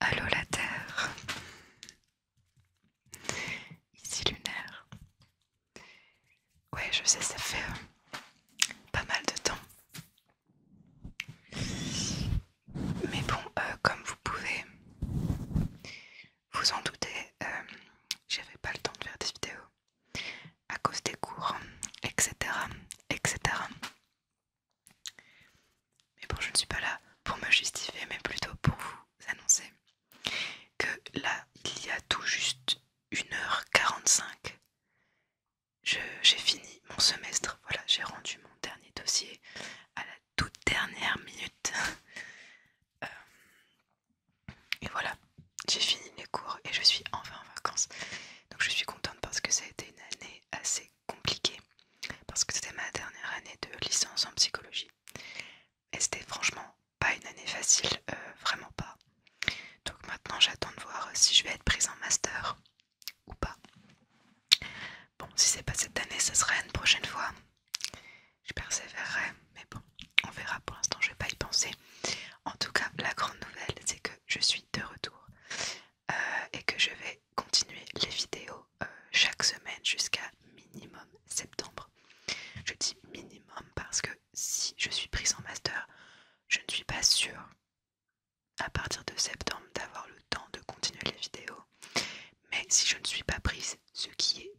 Allô la Terre, ici lunaire. Ouais, je sais, ça fait euh, pas mal de temps. Mais bon, euh, comme vous pouvez vous en doutez, euh, j'avais pas le temps de faire des vidéos à cause des cours, etc. etc. Mais bon, je ne suis pas là pour me justifier, mais plutôt pour vous annoncer que là, il y a tout juste 1h45, j'ai fini mon semestre. Voilà, j'ai rendu mon dernier dossier à la toute dernière minute. Euh, et voilà, j'ai fini mes cours et je suis enfin en vacances. Donc je suis contente parce que ça a été une année assez compliquée. Parce que c'était ma dernière année de licence en psychologie. Et c'était franchement pas une année facile, euh, vraiment pas. Donc maintenant j'attends de voir si je vais être prise en master ou pas. Bon, si c'est pas cette année, ça sera une prochaine fois je persévérerai, mais bon, on verra pour l'instant, je vais pas y penser. En tout cas, la grande nouvelle, c'est que je suis de retour euh, et que je vais continuer les vidéos euh, chaque semaine jusqu'à minimum septembre. Je dis minimum parce que si je suis prise en master, je ne suis pas sûre à partir de septembre d'avoir le temps de continuer les vidéos. Mais si je ne suis pas prise, ce qui est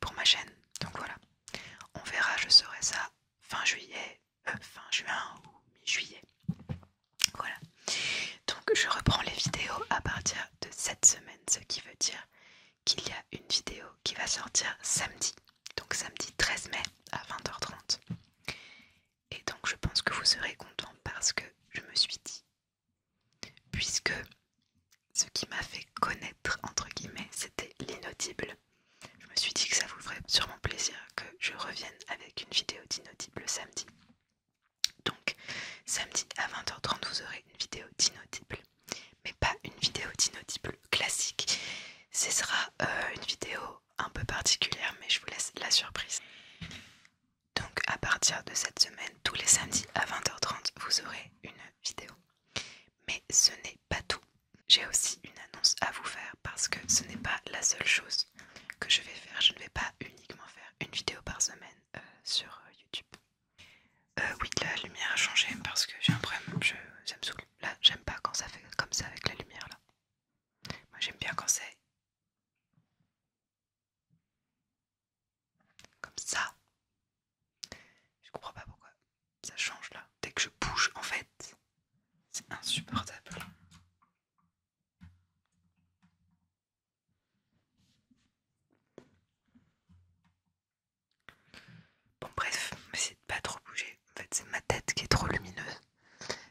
pour ma chaîne. Donc voilà, on verra, je serai ça fin juillet, euh, fin juin ou mi-juillet. Voilà, donc je reprends les vidéos à partir de cette semaine, ce qui veut dire qu'il y a une vidéo qui va sortir samedi, donc samedi 13 mai à 20h30. Et donc je pense que vous serez content parce que je me suis dit puisque ce qui m'a fait connaître entre guillemets c'était l'inaudible. Je me suis dit que ça vous ferait sûrement plaisir que je revienne avec une vidéo d'inaudible samedi. Donc samedi à 20h30 vous aurez une vidéo d'inaudible, mais pas une vidéo d'inaudible classique. Ce sera euh, une vidéo un peu particulière mais je vous laisse la surprise. Donc à partir de cette semaine, tous les samedis à 20h30, vous aurez une vidéo. Mais ce n'est pas tout. J'ai aussi une annonce à vous faire parce que ce n'est pas la seule chose que je vais faire. Je ne vais pas uniquement faire une vidéo par semaine euh, sur euh, YouTube. Euh, oui, la lumière a changé parce que j'ai un problème. Je, ça me saoule. Là, j'aime pas quand ça fait comme ça avec la lumière là. Moi, j'aime bien quand c'est comme ça. Je comprends pas pourquoi. Ça change là. Dès que je bouge, en fait, c'est insupportable. Bon bref, on va pas trop bouger. En fait, c'est ma tête qui est trop lumineuse.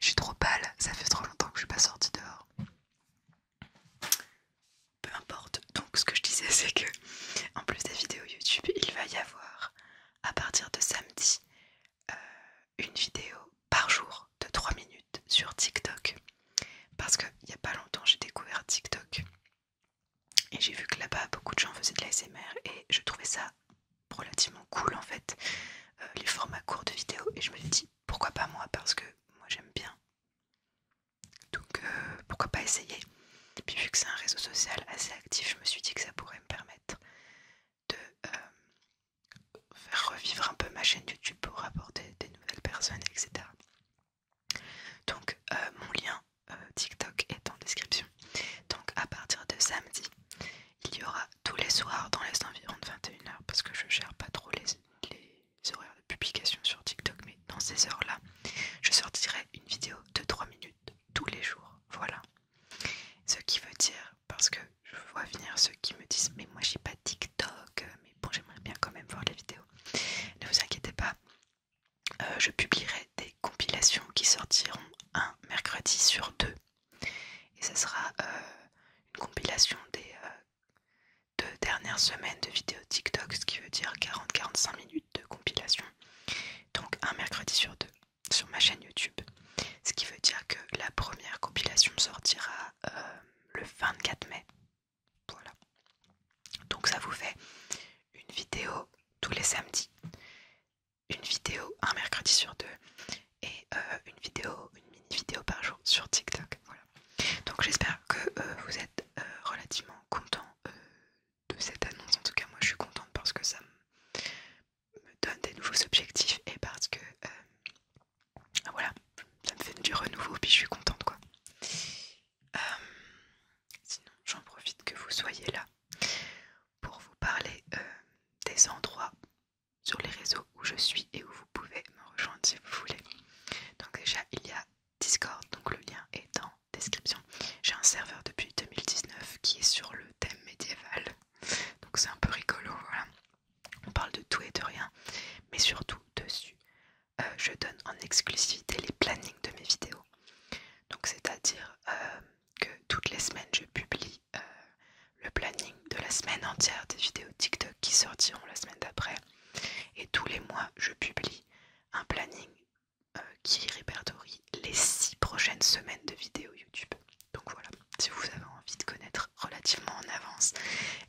Je suis trop pâle, ça fait trop longtemps que je suis pas sortie dehors peu importe. Donc ce que je disais c'est que en plus des vidéos YouTube, il va y avoir à partir de samedi euh, une vidéo par jour de 3 minutes sur TikTok. Parce qu'il n'y a pas longtemps j'ai découvert TikTok et j'ai vu que là-bas beaucoup de gens faisaient de l'ASMR et je trouvais ça relativement cool en fait, euh, les formats courts de vidéos et je me suis dit pourquoi pas moi Parce que moi j'aime bien. Donc euh, pourquoi pas essayer Et puis vu que c'est un réseau social assez actif, je me suis dit que ça pourrait me permettre de euh, faire revivre un peu ma chaîne YouTube pour apporter des nouvelles personnes, etc. Donc euh, mon lien TikTok est en description. Donc à partir de samedi, il y aura tous les soirs dans les environs de 21h parce que je gère pas trop les, horaires de publication sur TikTok, mais dans ces heures-là, je sortirai une vidéo de 3 minutes tous les jours. Voilà. Ce qui veut dire, parce que je vois venir ceux qui me disent mais moi j'ai pas TikTok, mais bon j'aimerais bien quand même voir les vidéos. Ne vous inquiétez pas, euh, je publierai des compilations qui sortiront un mercredi sur deux. Et ce sera euh, une compilation des euh, deux dernières semaines de vidéos TikTok, ce qui veut dire 40-45 minutes de compilation. Donc un mercredi sur deux sur ma chaîne YouTube. Ce qui veut dire que la première compilation sortira euh, le 24 mai. Voilà. Donc ça vous fait une vidéo tous les samedis une vidéo un mercredi sur deux et euh, une vidéo, une mini vidéo par jour sur TikTok. Voilà. Donc j'espère que euh, vous êtes euh, relativement content de cette annonce. En tout cas, moi je suis contente parce que ça me donne des nouveaux objectifs et parce que voilà, ça me fait du renouveau puis je suis contente quoi. sinon, j'en profite que vous soyez là pour vous parler euh, des endroits sur les réseaux où je suis et où vous pouvez me rejoindre si vous voulez. Donc déjà il y a Discord, donc le lien est en description. J'ai un serveur depuis 2019 qui est sur le thème médiéval, donc c'est un peu rigolo, voilà. On parle de tout et de rien, mais surtout dessus, euh, je donne en exclusivité les plannings de mes vidéos. Donc c'est-à-dire euh, que toutes les semaines je publie euh, le planning de la semaine entière des vidéos TikTok qui sortiront la semaine d'après. Et tous les mois je publie un planning euh, qui répertorie les six prochaines semaines de vidéos YouTube. Donc voilà, si vous avez envie de connaître relativement en avance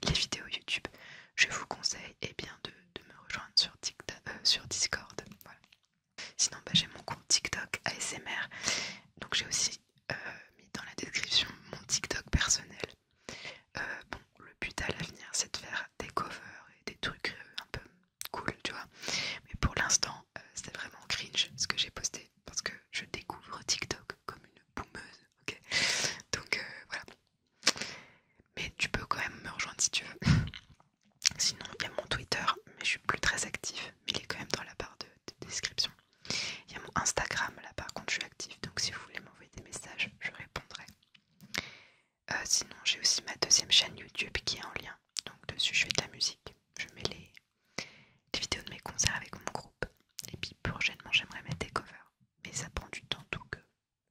les vidéos YouTube, je vous conseille eh bien, de, me rejoindre sur, TikTok, euh, sur Discord. Sinon, bah, j'ai mon compte TikTok ASMR. Donc, j'ai aussi euh, mis dans la description mon TikTok personnel. Euh, bon, le but à l'avenir, c'est de faire des covers et des trucs euh, un peu cool, tu vois. Mais pour l'instant, c'était c'est vraiment cringe ce que j'ai posté parce que je découvre TikTok comme une boumeuse, ok Donc, voilà. Mais tu peux quand même me rejoindre si tu veux. Sinon, il y a mon Twitter, mais je suis plus très actif, mais il est quand même dans la barre de, description. Il y a mon Instagram, là par contre, je suis actif, donc si vous voulez m'envoyer des messages, je répondrai. Euh, sinon, j'ai aussi ma deuxième chaîne YouTube qui est en lien, donc dessus je fais de la musique, je mets les, vidéos de mes concerts avec mon groupe, et puis prochainement j'aimerais mettre des covers, mais ça prend du temps, tout euh, que.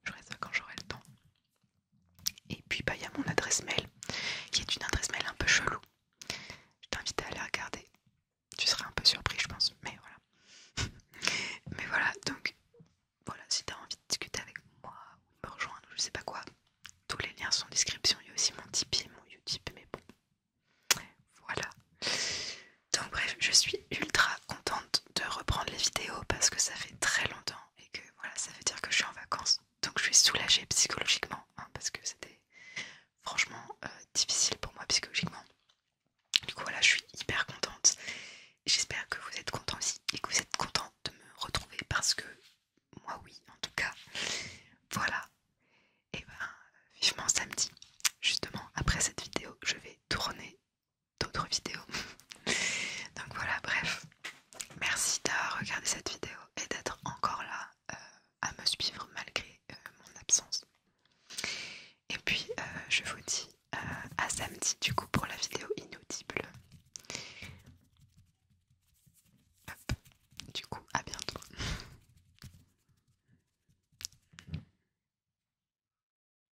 Je ça quand j'aurai le temps. Et puis, bah, il y a mon adresse mail, qui est une adresse mail un peu chelou. Je t'invite à aller regarder. Tu seras un peu surpris, je pense. Mais voilà. mais voilà, donc, voilà, si tu as envie de discuter avec moi ou de me rejoindre, je sais pas quoi, tous les liens sont en description. Il y a aussi mon Tipeee mon Utip, mais bon. Voilà. Donc bref, je suis ultra contente de reprendre les vidéos parce que ça fait très longtemps et que voilà, ça veut dire que je suis en vacances. Donc je suis soulagée psychologiquement hein, parce que c'était franchement euh, difficile pour moi psychologiquement. Du coup voilà, je suis hyper contente. J'espère que vous êtes content aussi et que vous êtes content de me retrouver parce que moi oui, en tout cas. Voilà. Et ben vivement samedi. Justement après cette vidéo, je vais tourner d'autres vidéos. Donc voilà, bref. Merci d'avoir regardé cette vidéo et d'être encore là euh, à me suivre malgré euh, mon absence. Et puis euh, je vous dis à samedi du coup pour la vidéo inaudible. Du coup, à bientôt.